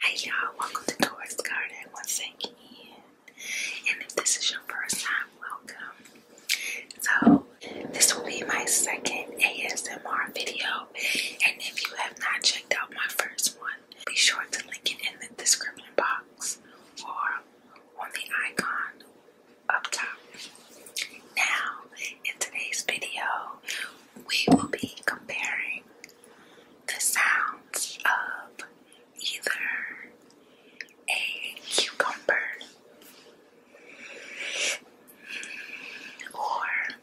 Hey y'all, welcome to Taurus Garden once again. And if this is your first time, welcome. So, this will be my second ASMR video. And if you have not checked out my first one, be sure to link it in the description box or on the icon up top. Now, in today's video, we will be comparing the sounds of either a cucumber or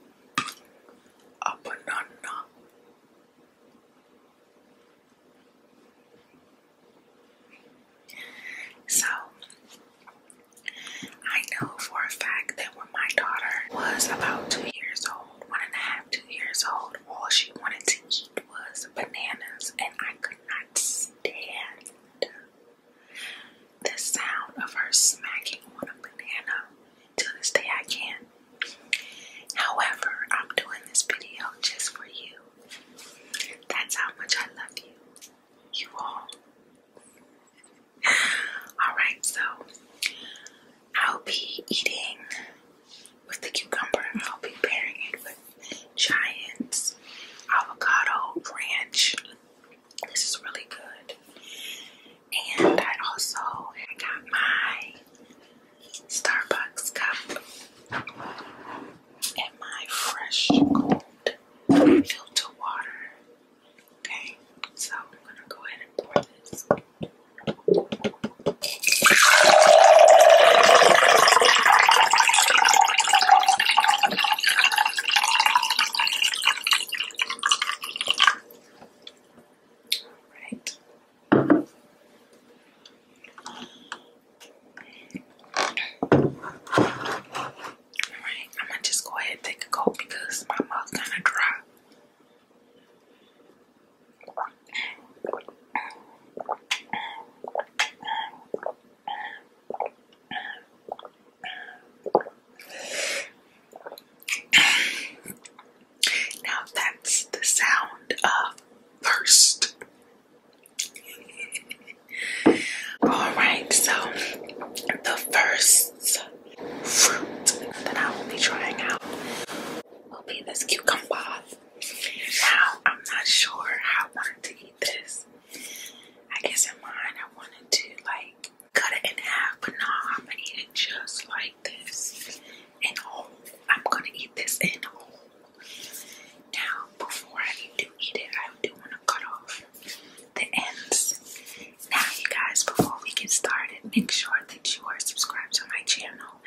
a banana. So, I know for a fact that my daughter was about two years old, one and a half, two years old, all she wanted to eat was bananas, and I could not stand the sound of her smacking on a banana. To this day, I can't. However, I'm doing this video just for you. That's how much I love you, you all. Alright, so I'll be eating with the cucumber. I'll be pairing it with Giant Avocado Ranch. This is really good. And I also got my Starbucks cup and my fresh cold water Okay, so I'm gonna go ahead and pour this. Alright. Alright, I'm gonna just go ahead and take a coat because my mouth's kind of dry. Now that's the sound of thirst. All right, so the first fruit that I will be trying out will be this cucumber. Now, I'm not sure how I wanted to eat this. I guess in mine, I wanted to like cut it in half, but no, I'm gonna eat it just like this in whole. Oh, I'm gonna eat this in whole. Now, before I do eat it, I do want to cut off the ends. Now, you guys, before we get started, make sure that you are subscribed to my channel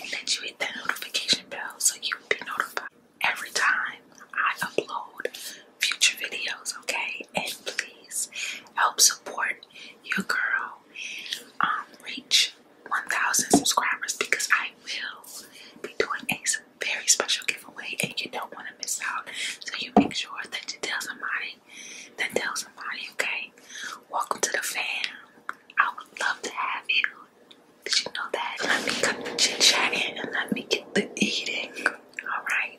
and that you hit the notification bell so you will be notified every time I upload future videos, okay? And please help support your girl um, reach 1,000 subscribers because I will be doing a very special giveaway and you don't want to miss out. So you make sure that you tell somebody then tell somebody, okay? Welcome to the fam. I would love to have you. Did you know that? Let me come to chit and let me get the eating. Alright.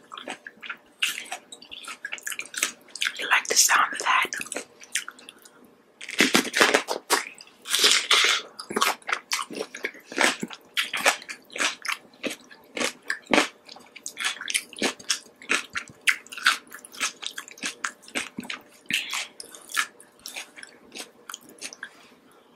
You like the sound of that?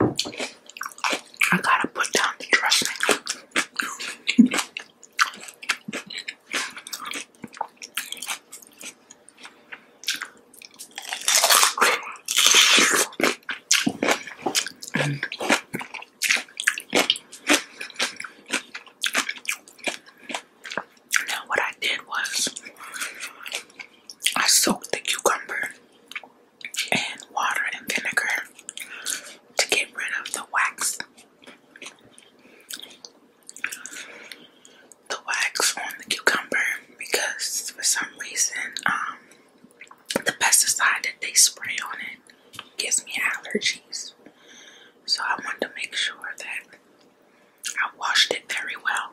I gotta put down the dressing. and now what I did was I soaked the cucumber and water and vinegar to get rid of the wax. The wax on the cucumber because for some reason um the pesticide that they spray on it gives me allergies. So I wanted to make sure that I washed it very well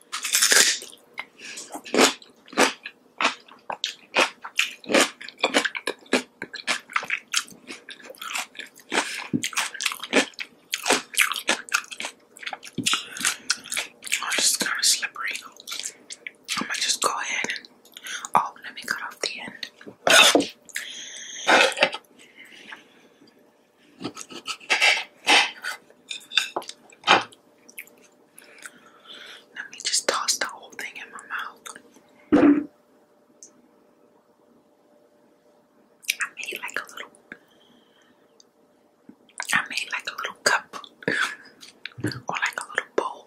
Oh, I'm just kind of slippery. I'm gonna just go ahead and oh, let me cut off the end. Let me just toss the whole thing in my mouth. I made like a little I made like a little cup or like a little bowl.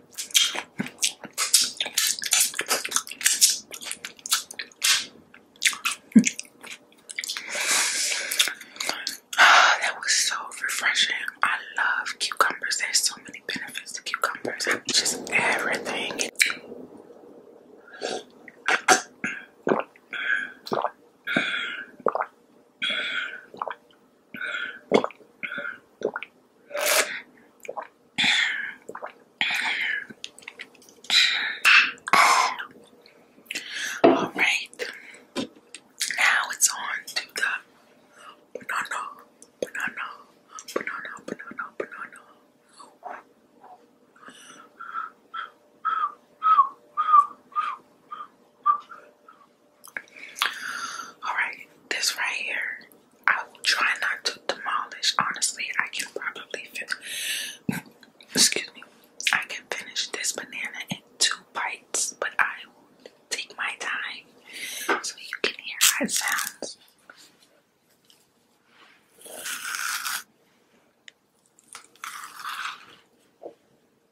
that was so refreshing. I love cucumbers. There's so many benefits to cucumbers. Just everything. All right, now it's on to the banana, banana, banana, banana, banana. Alright, this right here, I will try not to demolish. Honestly, I can probably finish. Excuse me. I can finish this banana in two bites, but I will take my time so you can hear my sounds.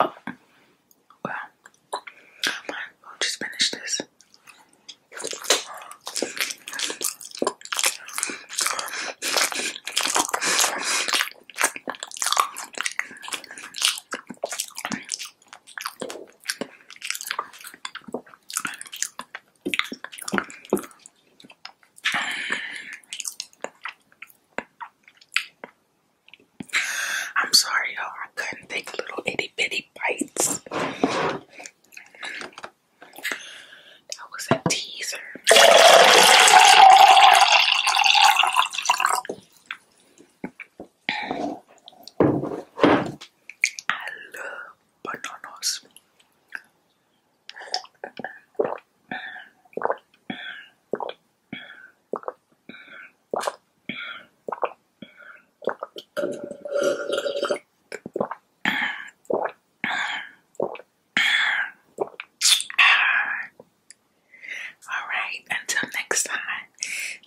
Oh, well, will just finish this. I'm sorry, y'all. I couldn't take little itty bitty bites. That was a teaser. I love bananas. All right, until next time.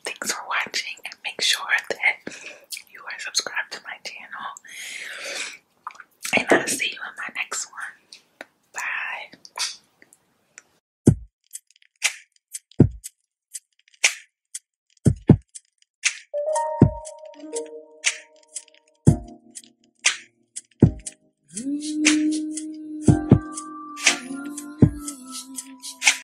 Thanks for watching and make sure that you are subscribed to my channel. And I'll see you in my next one. Bye.